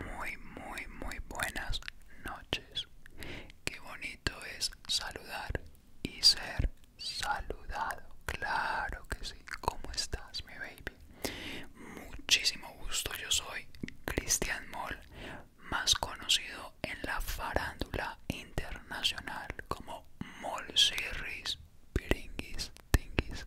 Muy, muy, muy buenas noches. Qué bonito es saludar y ser saludado. Claro que sí. ¿Cómo estás, mi baby? Muchísimo gusto. Yo soy Cristian Moll, más conocido en la farándula internacional como Moll Series Piringuis, Tinguis,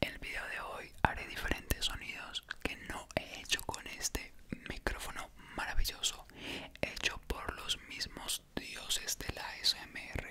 el video de hoy haré diferentes sonidos que no he hecho con este micrófono maravilloso hecho por los mismos dioses de la SMR.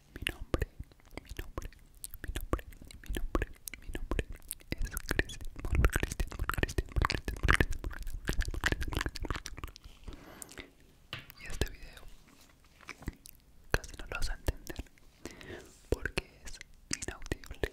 Mi nombre, mi nombre, mi nombre, mi nombre, mi nombre es Cristian Y este video casi no lo vas a entender porque es inaudible.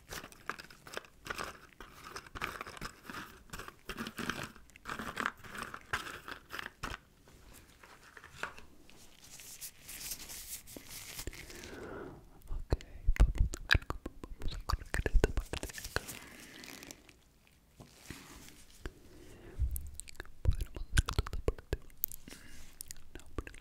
Ok, vamos a colocar esta parte de acá Podemos hacer toda esta parte no, pero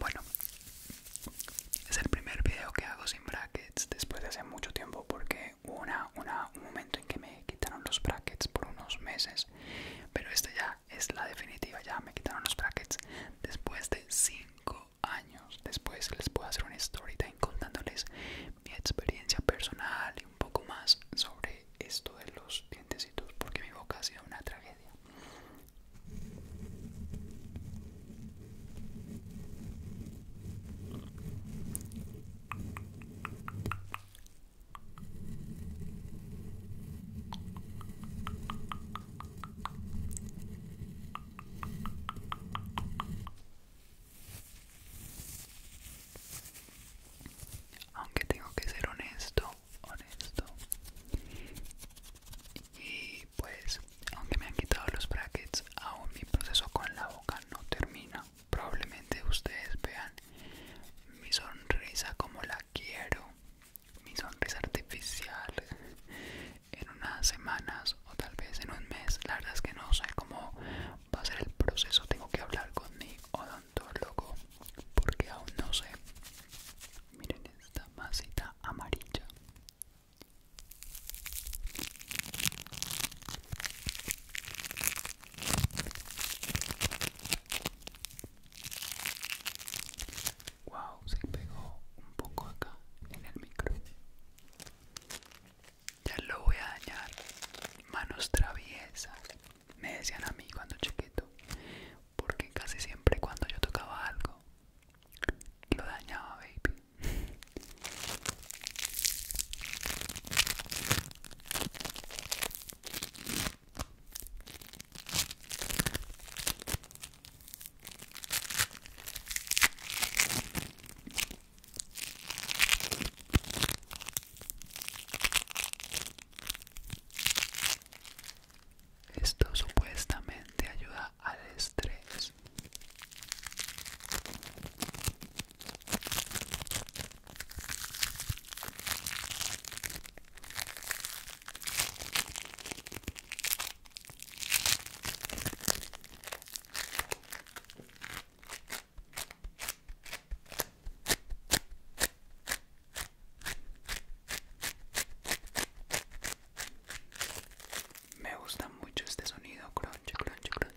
Bueno, es el primer video que hago sin brackets después de hace mucho tiempo porque hubo una, un momento en que me quitaron los brackets por unos meses, pero esta ya es la definitiva, ya me quitaron los brackets después de 5 años. Después les puedo hacer un story contándoles mi experiencia personal un poco más sobre esto de los dientesitos porque mi boca ha sido una tragedia. Aunque tengo que ser honesto, honesto. Y pues, aunque me han quitado los brackets, aún mi proceso con la boca no termina. Probablemente ustedes vean mi sonrisa como la quiero, mi sonrisa artificial en unas semanas o tal vez en un mes. La verdad es que no sé cómo va a ser el proceso. Tengo que hablar con mi odontólogo porque aún no sé. Miren esta masita amarilla. Wow, se pegó un poco acá en el micro ya lo voy a dañar. Manos traviesas, me decían a mí cuando chiquito, porque casi siempre cuando yo tocaba algo, lo dañaba, baby. Esto supuestamente ayuda al estrés. Me gusta mucho este sonido crunch crunch crunch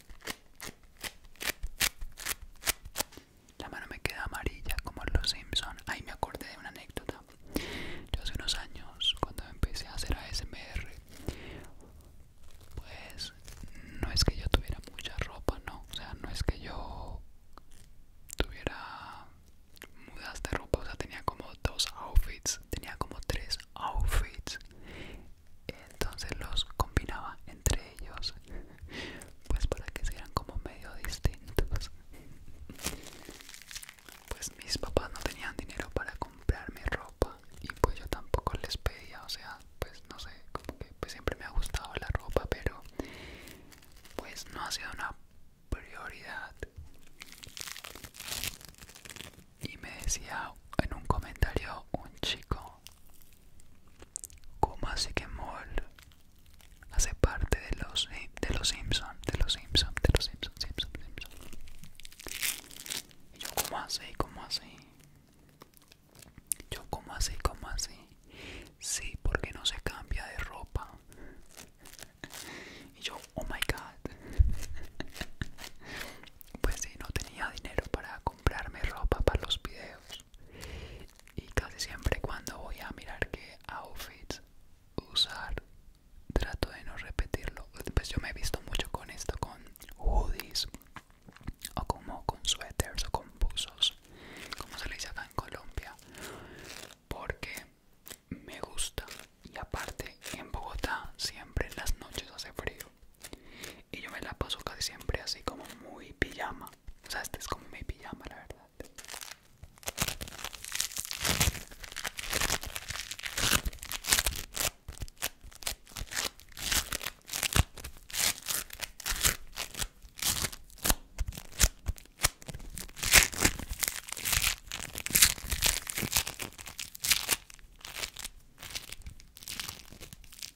La mano me queda amarilla como en los Simpson. Ahí me acordé de una anécdota. Yo hace unos años, cuando empecé a hacer ASMR, pues no es que yo tuviera mucha ropa, no. O sea, no es que yo tuviera mudas de ropa. O sea, tenía como dos outfits. Tenía como tres outfits entonces los combinaba entre ellos pues para que sean como medio distintos pues mis papás no tenían dinero para comprarme ropa y pues yo tampoco les pedía o sea pues no sé como que pues siempre me ha gustado la ropa pero pues no ha sido una prioridad y me decía en un comentario un chico que mole hace parte de los eh, de los Simpson, de los Simpson, de los Simpson, Simpson, Simpson. Y yo como así, como así. Yo como así, como así. Sí, porque no se cambia de ropa. Y yo, oh my god. Pues sí, no tenía dinero para comprarme ropa para los videos y casi siempre cuando voy a mirar qué outfits usar trato de no repetirlo pues yo me he visto mucho con esto con hoodies o como con suéteres o con buzos como se le dice acá en Colombia porque me gusta y aparte en Bogotá siempre en las noches hace frío y yo me la paso casi siempre así como muy pijama. O sea, este es como mi pijama, la verdad.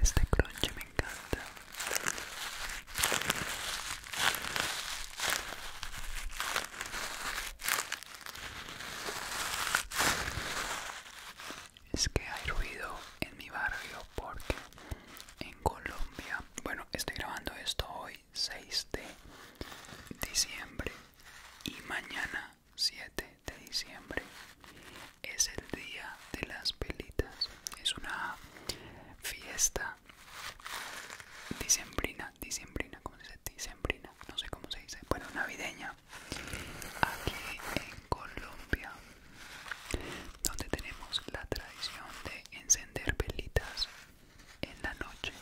Este crunch me encanta. Es que hay ruido en mi barrio porque en Colombia, bueno, estoy grabando esto hoy 6 de diciembre y mañana 7 de diciembre es el día de las pelitas Es una fiesta dicembrina dicembrina, ¿cómo se dice? Dicembrina, no sé cómo se dice, bueno, navideña, aquí en Colombia, donde tenemos la tradición de encender velitas en la noche.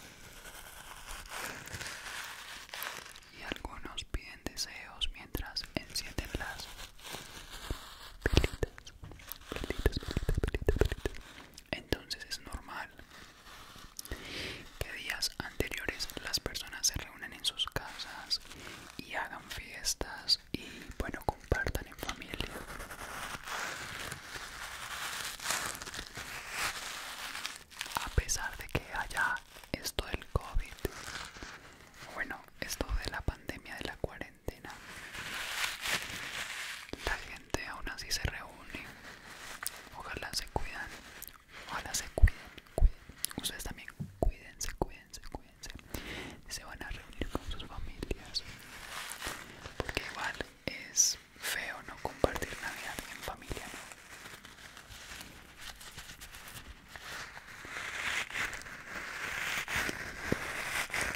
Y algunos piden deseos mientras encienden las Velitas, velitas, pelitas, pelitas. Entonces es normal que días anteriores las personas se reúnen en sus casas y hagan fiestas y bueno, compartan en familia. A pesar de que haya esto del COVID, bueno, esto de la pandemia de la cuarentena, la aún así se reúnen Ojalá se cuidan. Ojalá se cuiden, Ustedes también cuídense, cuídense, cuídense. Se van a reunir con sus familias. Porque igual es feo no compartir Navidad en familia,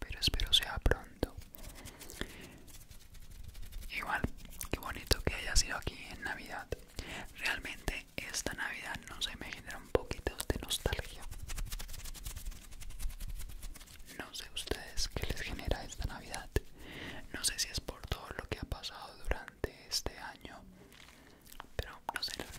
Pero espero sea pronto. Igual, qué bonito que haya sido aquí en Navidad. Realmente esta Navidad no se me genera un poquito de nostalgia. No sé ustedes qué les genera esta Navidad. No sé si es por todo lo que ha pasado durante este año, pero no sé la verdad.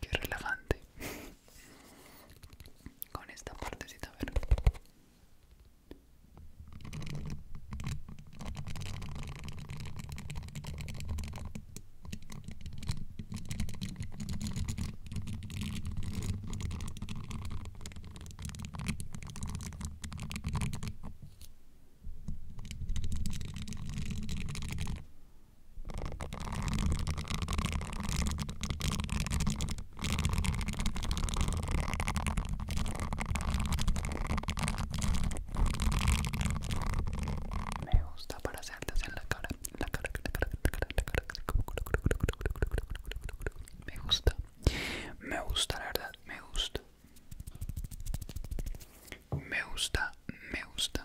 Qué relevante Con esta partecita, verde. Me gusta para hacerles en cara, la cara, me gusta, me gusta la verdad, me gusta. Me gusta, me gusta.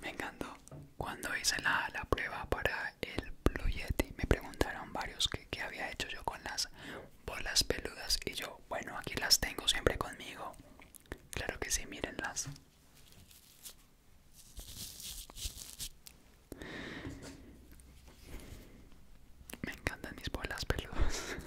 Me encantó. Cuando hice la, prueba para el Blue me preguntaron varios qué, qué había hecho yo con las bolas peludas. Y yo, bueno, aquí las tengo siempre conmigo. Claro que sí, mírenlas. Me encantan mis bolas peludas.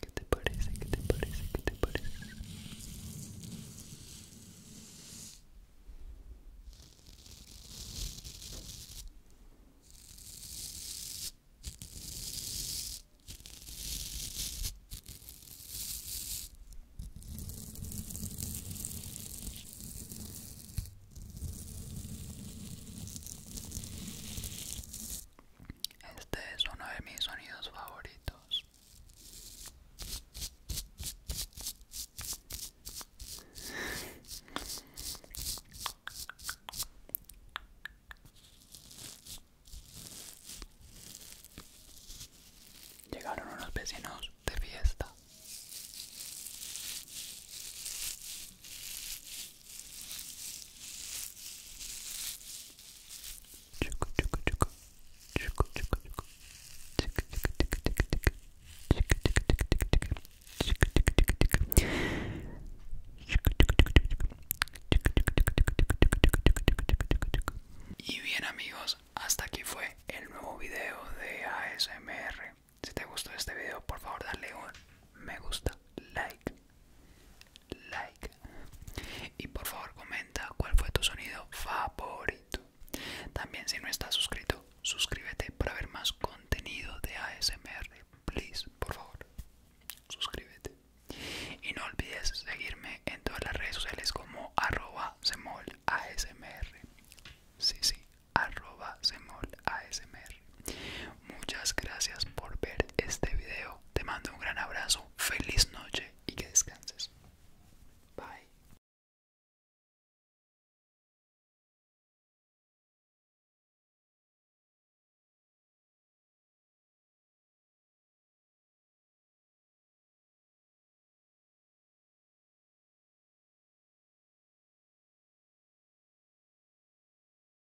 ¿Qué te parece? ¿Qué te parece? ¿Qué te parece? Este es uno de mis sonidos favoritos. Llegaron unos vecinos de fiesta. Y bien amigos, hasta aquí fue el nuevo video de ASMR. Si te gustó este video, por favor dale un me gusta, like like y por favor comenta cuál fue tu sonido favorito. También si no estás suscrito, suscríbete para ver más contenido de ASMR. Please, por favor, suscríbete. Y no olvides seguirme en todas las redes sociales como arroba Sí, sí, arroba Muchas gracias por ver este video. Te mando un gran abrazo, feliz noche y que descanses. Bye.